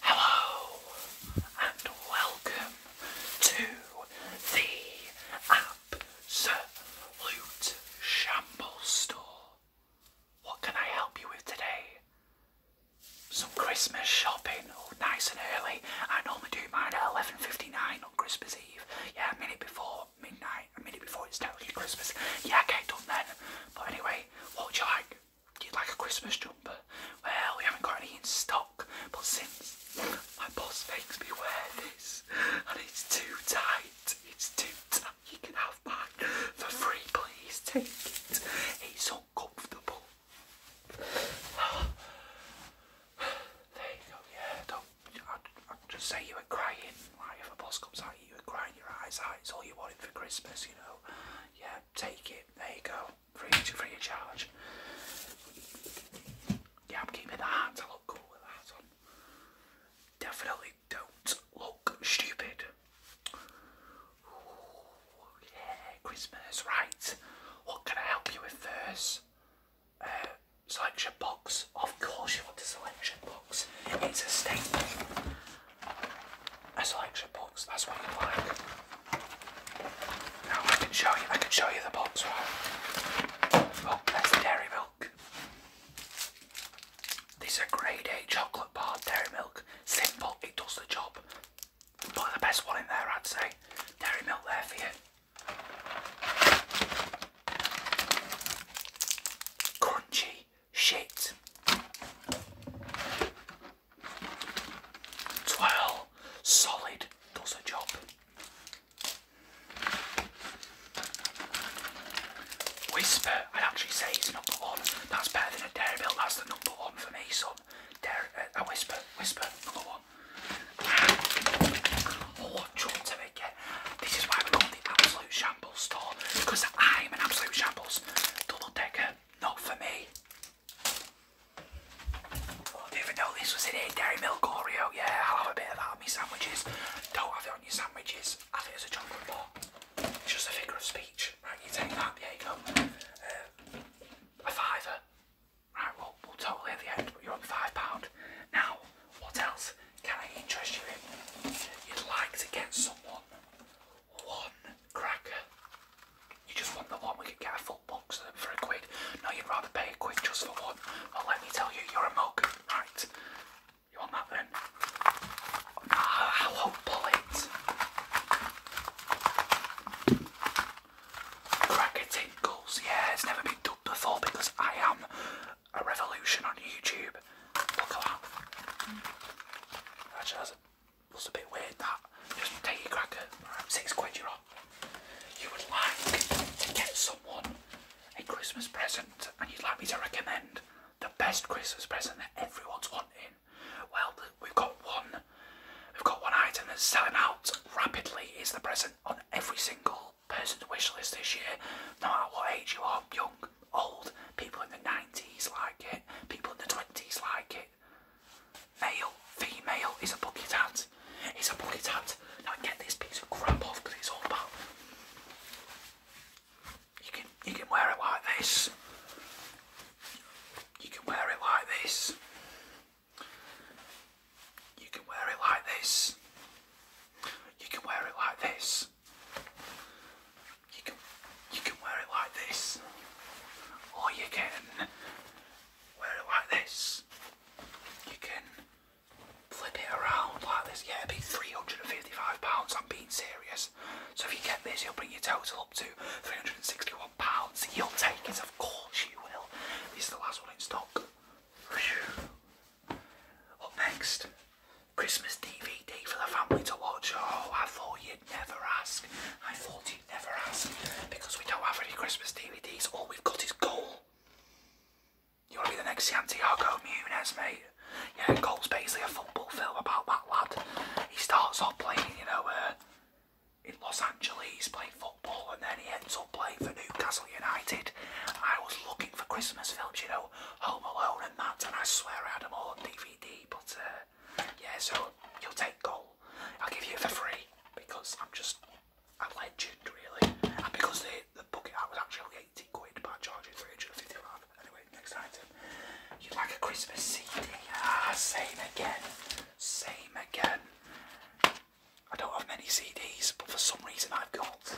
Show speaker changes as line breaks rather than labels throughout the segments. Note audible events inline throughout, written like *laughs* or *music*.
Hello and welcome to the Absolute Shambles Store. What can I help you with today? Some Christmas shopping, oh, nice and early. I normally do mine at 11.59 on Christmas Eve. Yeah, a minute before midnight. A minute before it's totally Christmas. Yeah, okay, done then. But anyway, what would you like? You'd like a Christmas jumper? Well, we haven't got any in stock, but since my boss makes me wear this and it's too tight, it's too tight, you can have mine for free, please take it. It's uncomfortable. *sighs* there you go, yeah, I'd, just say you were crying. Like if a boss comes at you, you were crying your eyes out. It's all you wanted for Christmas, you know. Yeah, take it. There you go. Free, free of charge. Yeah, I'm keeping the that. I look cool with that on. Definitely don't look stupid. yeah, Christmas, right. What can I help you with first? A selection box. Of course, you want a selection box. It's a staple. A selection box. That's what you like. Now I can show you. I can show you the box. Right? Oh, that's the dairy milk. These are grade A chocolate bar dairy milk. Simple. It does the job. But the best one in there, I'd say. Dairy milk there for you. Crunchy shit. Twirl solid does a job. Whisper, I'd actually say he's number one. That's better than a Dairy Milk. That's the number one for me, son. Dairy, uh, a Whisper, Whisper, number one. Oh, what to make it. This is why we call the Absolute Shambles store, because I'm an Absolute Shambles. Double decker, not for me. Oh, didn't even know this was in here. Dairy Milk Oreo, yeah, I'll have a bit of that on sandwiches. Don't have it on your sandwiches, have it as a chocolate bar. just a figure of speech. Right, you take that, there you go. Uh, a fiver, Right, well, we'll totally at the end, but you're on £5. Now, what else can I interest you in? You'd like to get someone one cracker. You just want the one, we could get a full box for a quid. No, you'd rather pay a quid just for one. Well, let me tell you, you're a mug. Right, you want that then? Ah, I will pull it. Cracker Tinkles, yeah, it's never been done before because I am a revolution on YouTube. Look at that. Actually, that's a, a bit weird that. Just take your cracker, right, six quid you're on. You would like to get someone a Christmas present and you'd like me to recommend the best Christmas present that everyone's wanting. Well, we've got one We've got one item that's selling out rapidly is the present on every single person's wish list this year, no matter what age you are, young, old, people in the 90s like it, people in the 20s like it. Male, female is a bucket hat. It's a bucket hat. Now get this piece of crap off it's all about you can you can wear it like this. You can wear it like this. You can wear it like this. You can wear it like this. You can you can wear it like this. Or you can wear it like this. You can flip it around like this. Yeah, it'd be £355. I'm being serious. So if you get this, you will bring your total up to 361 pounds pounds You'll take it, of course you will. This is the last one in stock. Up next, Christmas DVD for the family to watch. Oh, I thought you'd never ask. I thought you'd never ask because we don't have any Christmas DVDs. All we've got is Goal. You want to be the next Santiago Munez, mate? Yeah, Goal's basically a football film about that lad. He starts off playing, you know, uh, in Los Angeles playing football and then he ends up playing for Newcastle United. I was looking for Christmas films, you know, Home Alone and that, and I swear I had them all DVD, but uh, yeah, so you'll take goal. I'll give you for free because I'm just a legend, really. And because the, the bucket I was actually only 80 quid, but I charged 355. Anyway, next item. You like a Christmas CD? Ah, same again. Same again. I don't have many CDs, but for some reason I've got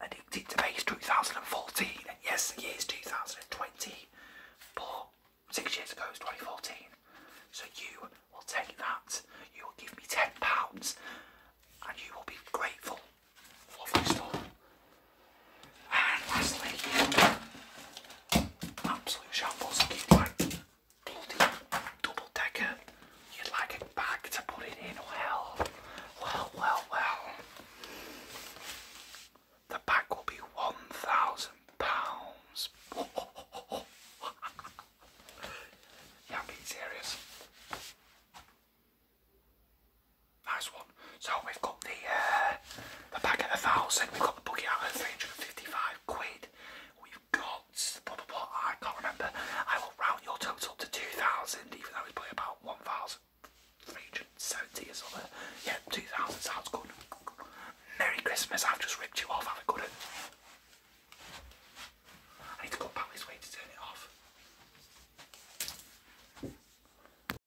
Addicted to base 2014, and yes, the 2020, but six years ago it was 2014. So you will take that, you will give me £10, and you will be grateful. Lovely stuff. And lastly, absolute shambles. you double decker. You'd like a bag to put it in. Well, well, well, well. The bag will be one thousand pounds. *laughs* Yeah, I'm being serious. Nice one. So we've got the uh, the bag at a thousand. We've got the buggy out at three hundred and fifty-five quid. We've got blah I can't remember. I will round your total to two thousand, even though it's probably about one thousand three hundred seventy or something. Yeah, two thousand sounds good. Merry Christmas. I've just ripped you off. Have a good one. I need to go back this way to turn it off.